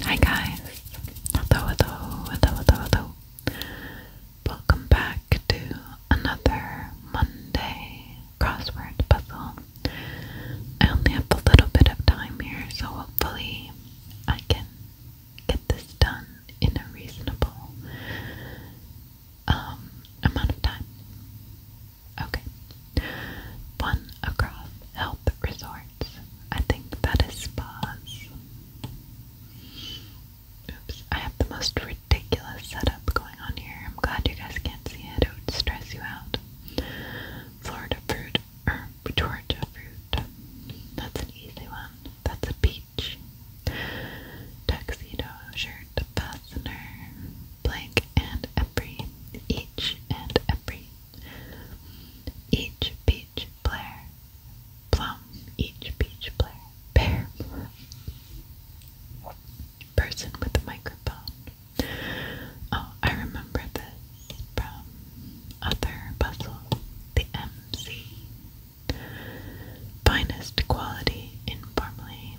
Hi guys, Welcome back to another Monday crossword puzzle. I only have a little bit of time here, so hopefully I can get this done in a reasonable um, amount of time. Okay, one across health resorts. I think that is spas. Oops, I have the most ridiculous setup going on here. I'm glad you guys can't see it. It would stress you out. Florida fruit or Georgia fruit. That's an easy one. That's a peach. Tuxedo shirt fastener. Blank and every. Each and every each peach player, plum, each peach player, pear, person with a microphone. Oh, I remember this from other puzzles. The MC. Finest quality in Parmalee.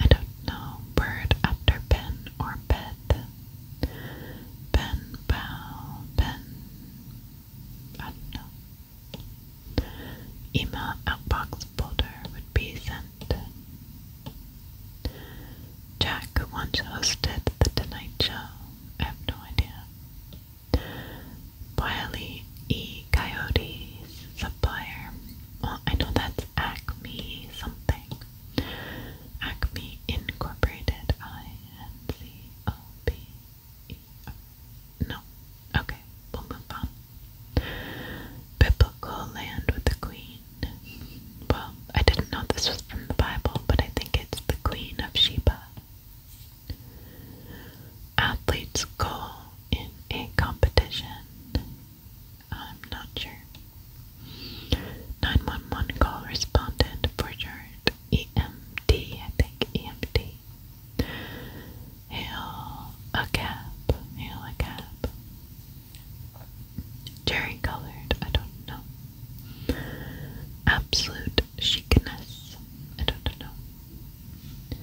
I don't know, bird after pen or bed. Pen, bow, pen. I don't know. Email outbox folder would be sent. Jack once hosted The Tonight Show. I have no idea. Wiley E. Coyotes, supplier. Well, I know that's Acme something. Acme Incorporated. I N C O B E R. No. Okay, we'll move on. Biblical land with the queen. Well, I didn't know this was from the Bible, but I think it's the Queen of Sheba. Athletes goal in a competition. I'm not sure. 911 call responded Bridgard EMD, I think EMD. Hail a cab, hail a cab. Cherry colored, I don't know. Absolute chicness, I don't know.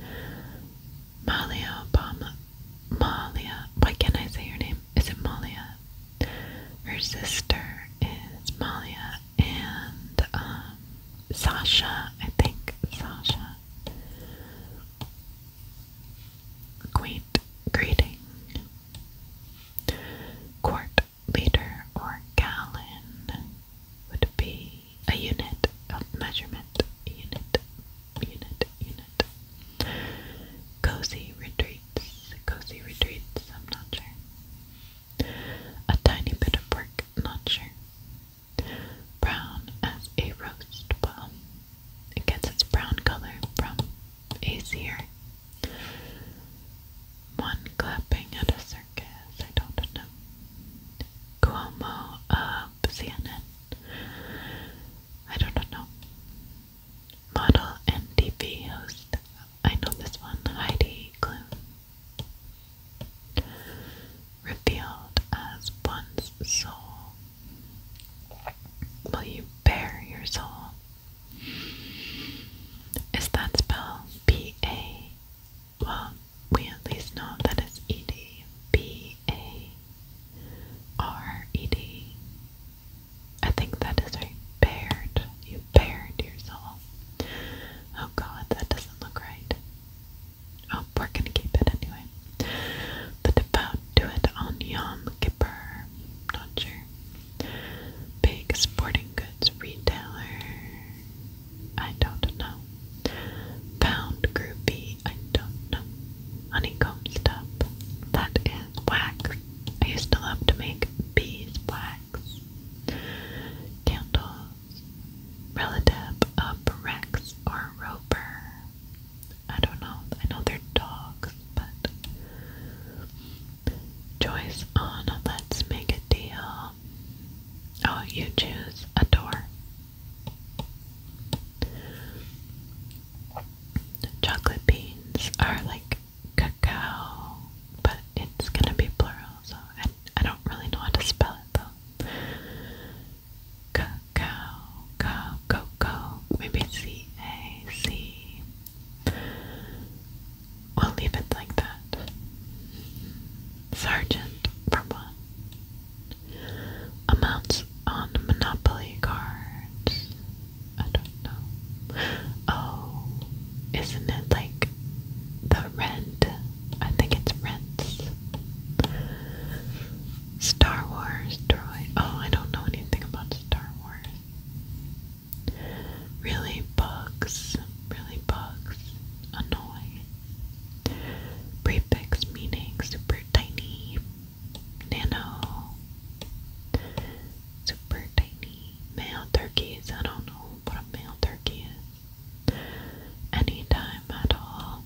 Malia Obama Malia. Why can't I say her name? Is it Malia? Her sister is Malia and um, Sasha, I think. Sasha. Quaint greeting. Court leader or gallon would be a unit of measurement. Unit unit, unit. Cozy retreats, cozy retreats, I'm not sure. A tiny bit of pork, not sure. Brown as a roast, well, it gets its brown color from a One clapping at a circus, I don't know. Cuomo, uh, CNN. I don't know. Model and TV host. I know this one. Heidi Klum. Revealed as one's soul. Will you bear your soul? Is that spell? P A? Well, we at least know that it's ed, b a r e d. I think that is right. Bared. You bared soul. Oh god, that doesn't look right. Oh, we're gonna keep it anyway. The devout do it on Yom Kippur. Not sure. Big sporting goods retailer. I don't know. Pound groupie. I Honeycomb stuff. That is wax. I used to love to make beeswax. Candles. Relative of Rex or Roper. I don't know. I know they're dogs, but. Choice on Let's Make a Deal. Oh, you choose a door. Chocolate beans are like cacao, but it's gonna be plural, so I, don't really know how to spell it though. Cacao, cow, cocoa, maybe C A C. We'll leave it like that. Sergeant, for Amounts on Monopoly cards. I don't know. Oh, isn't it like the rent? I think it's rents. Star Wars droid. Oh, I don't know anything about Star Wars. Really bugs. Really bugs. Annoying. Prefix meaning super tiny, nano, super tiny, male turkeys. I don't know what a male turkey is. Anytime at all.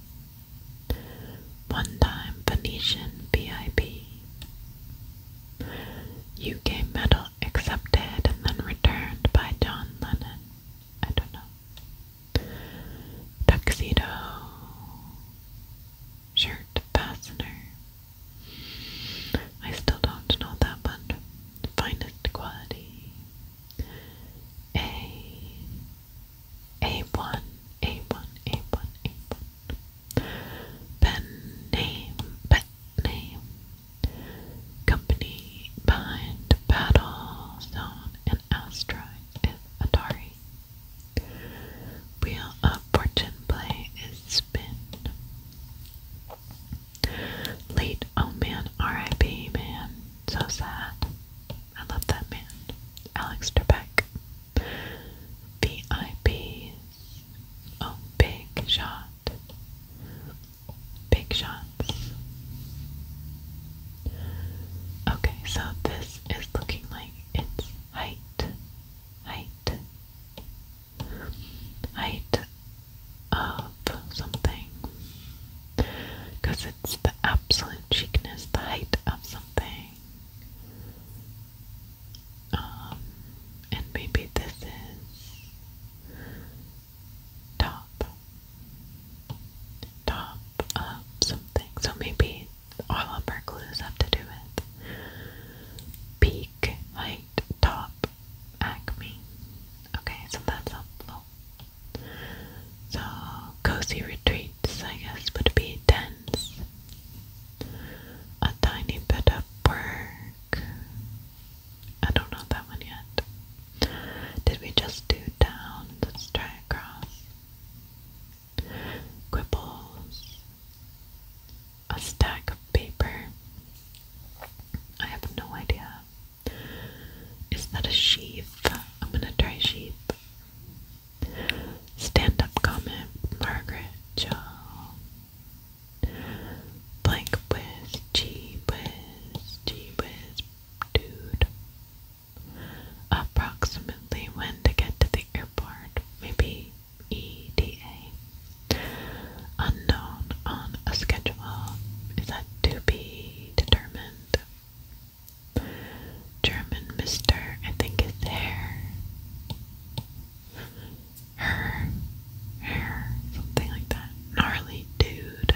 One time Venetian VIP. UK medal accepted and then returned by John Lennon. I don't know tuxedo shirt fastener. I still don't know that one. Finest quality. A. A1, A1, A1, A1. Pen name, pet name, company behind Battlezone and Asteroid is Atari. Wheel of Fortune play is Spin. Late oh man, R.I.P. man, so sad. I love that man. Alex Trebek. VIPs. Oh, big shot big shots. Okay, so this is looking like it's height, height, height of something. Because it's the absolute chicness, the height of something. Um, and maybe this is top, top of something. So maybe all of our clues have to do with peak, height, top, acme. Okay, so that's up low. So cozy retreats, I guess, would be dense. A tiny bit of purr I don't know that one yet. Did we just do down? Let's try across. Quibbles. A stack of paper. I have no idea. Is that a sheaf? I'm gonna try sheep. Stand up comment, Margaret Jo. Like whiz, gee whiz, gee whiz, dude. Approximately when to get to the airport, maybe ETA. Unknown on a schedule, is that to be determined? German mister, I think is there her hair, something like that. Gnarly dude.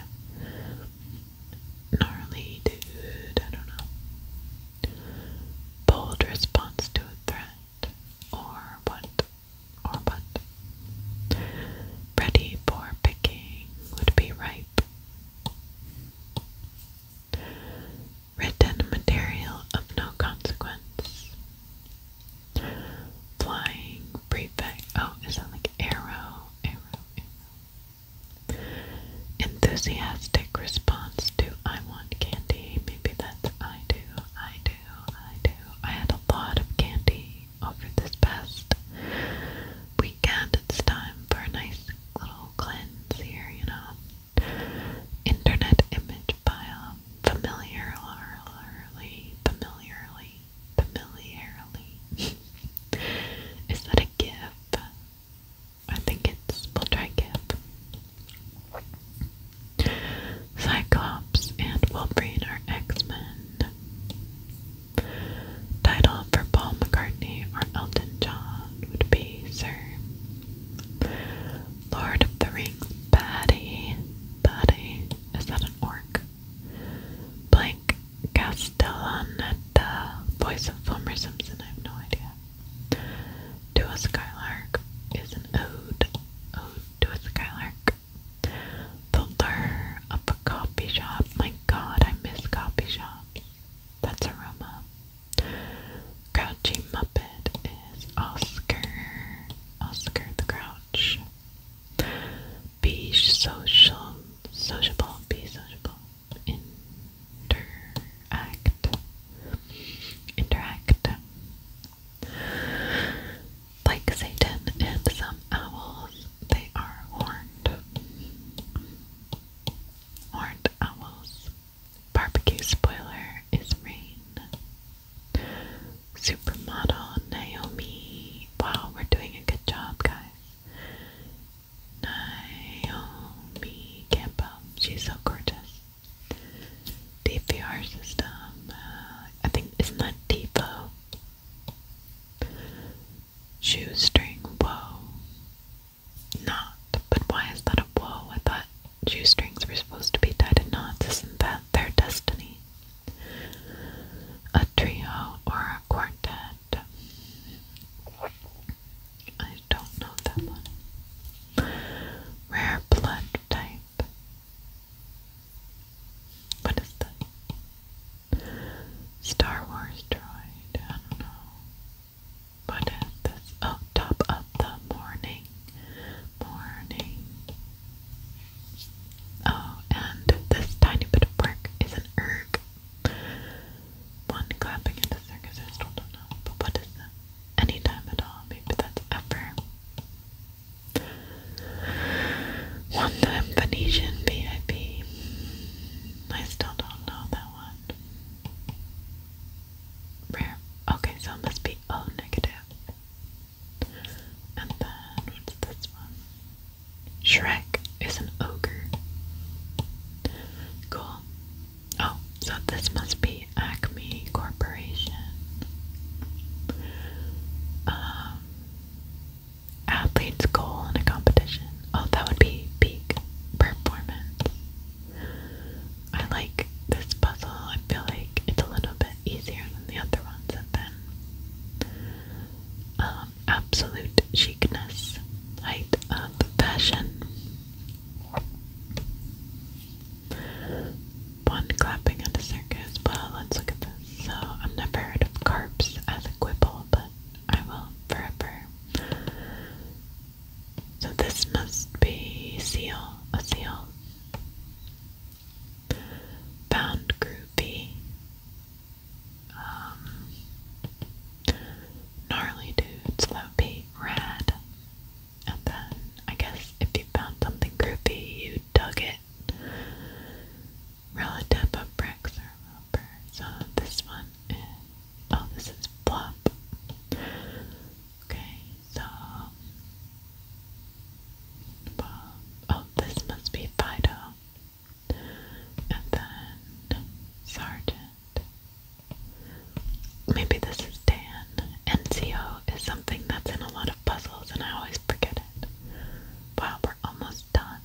Gnarly dude, I don't know. Bold response to a threat. Or what? Or what? Ready for picking would be ripe. Written material of no consequence. Flying prefect. Oh, is that like arrow? Arrow, Enthusiastic response to I want candy. Maybe that's I do, I do, I do. I had a lot of candy over this past weekend. It's time for a nice little cleanse here, you know. Internet image file familiarly, familiarly, familiarly. Is that a gif? I think it's, we'll try gif. Cyclops and Wolverine are X-Men. Title for Paul McCartney or Elton John would be Sir. Lord of the Rings, buddy, buddy. Is that an orc? Blank Castellaneta, voice of Homer Simpson. I have no idea. To a Skylark is an ode. Ode to a Skylark. The lure of a coffee shop. My god, I miss coffee shops. That's aroma. Crouching Muppet is Oscar. Oscar the Grouch. Be social, sociable, be sociable, interact, interact. Like Satan and some owls, they are horned. Horned owls. Barbecue spoiler is rain. Supermodel Naomi. Wow, we're doing a good job, guys. Naomi Campbell. She's so gorgeous. DVR system. Uh, I think, isn't that Shoe string. Whoa. Not. But why is that a whoa? I thought Shoestrings were supposed to be tied in knots, isn't that their destiny? A trio or a quartet? I don't know that one. Rare blood type. What is that? Star Wars droid. I don't know. What is this? Oh, top of the morning morning. Oh, and this tiny bit of bark is an erg. One clapping at the circus, I still don't know, but what is that? Anytime at all, maybe that's ever. One time Venetian VIP. I still don't know that one rare. Okay, so it must be O negative. And then what's this one? Shrek is an ogre. Cool. Oh, so this must be Acme Corporation. Um athlete's goal in a competition. Oh, that would be peak performance. I like this puzzle. I feel like it's a little bit easier than the other ones have been. Um, absolute chicness, height of fashion. One clapping at a circus. Well, let's look at this. So, I've never heard of carps as a quibble, but I will forever. So this must be seal, a seal. Bound groupie. Um, gnarly dude, slopey, rad. And then I guess if you found something groupie, you dug it. Relative of bricks or rubber. So this one oh, this is plop. Okay, so oh, this must be Fido, and then Sergeant. Maybe this is Dan. NCO is something that's in a lot of puzzles, and I always forget it. Wow, we're almost done.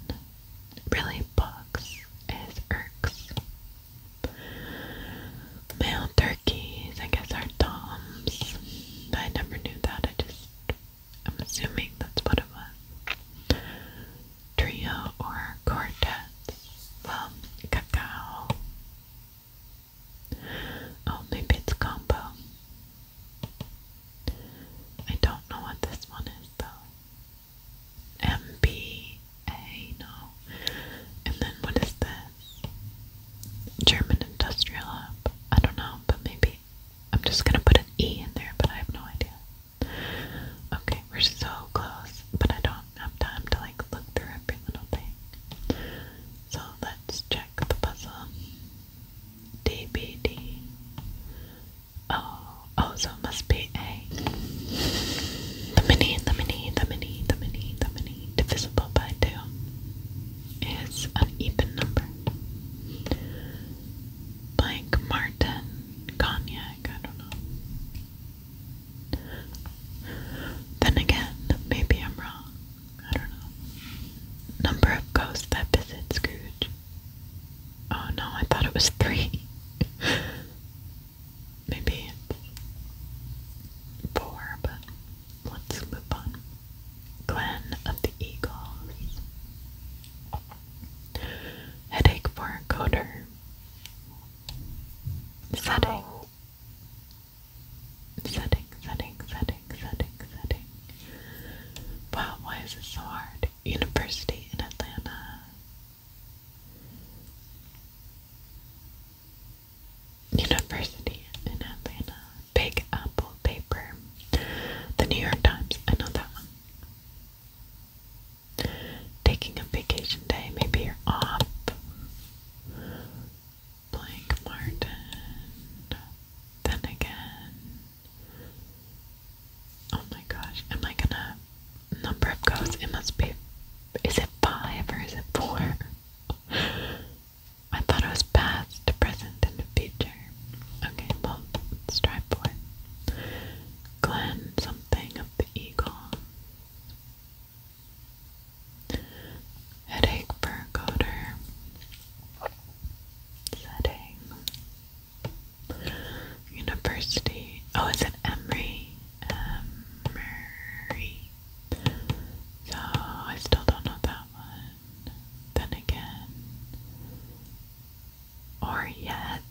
Really, bugs is irks. Male turkeys, I guess, are toms. I never knew that. I just, I'm assuming that's what it was. Trio or quartets. Well, cacao. Oh, maybe it's combo. I don't know what this one is though. MB a, no. And then what is this? German Industrial Hub. I don't know, but maybe. I'm just gonna put an E in there, but I have no idea. Okay, we're so close, but I don't have time to like look through every little thing. So let's check the puzzle. DBD. Oh, oh, must be A. The mini, the mini, the mini, the mini, the mini, divisible by 2 is an even number. Blank Martin Cognac, I don't know. Then again, maybe I'm wrong. I don't know. Number of ghosts that visit Scrooge. Oh no, I thought it was three. Maybe four, but let's move on. Glen of the Eagles. Headache for a coder. Oh. Setting, setting, setting, setting, setting. Wow, why is it so hard? University in Atlanta. University in Atlanta, Big Apple paper, The New York Times. I know that one. Taking a vacation day, maybe you're off. Blank Martin. Then again. Oh my gosh, am I gonna number of goats. It must be. Is it five or is it four? I thought it was past, present, and future. Okay, well, let's try four. Glen something of the eagle. Headache for a Setting. University. Oh, is it Emory? Um, Emory. So I still don't know that one. Then again, or yet.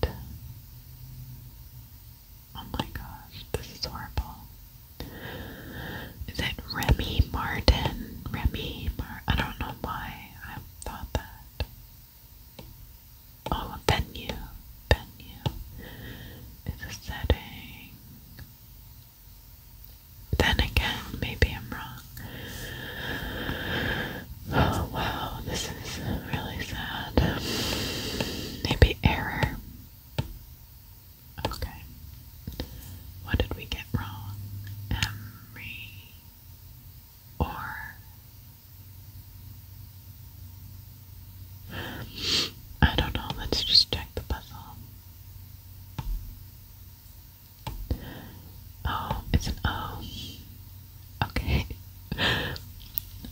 Oh my gosh, this is horrible. Is it Remy Martin? Remy Martin? I don't know why I thought that. Oh, venue. Venue is a setting. Then again, maybe I'm wrong. Oh, wow, this is really sad. Maybe error. Okay. What did we get wrong? Emery or I don't know, let's just check the puzzle. Oh, it's an O. Okay.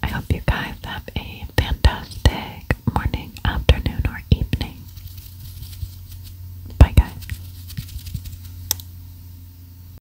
I hope you guys have a fantastic morning, afternoon, or evening. Bye, guys.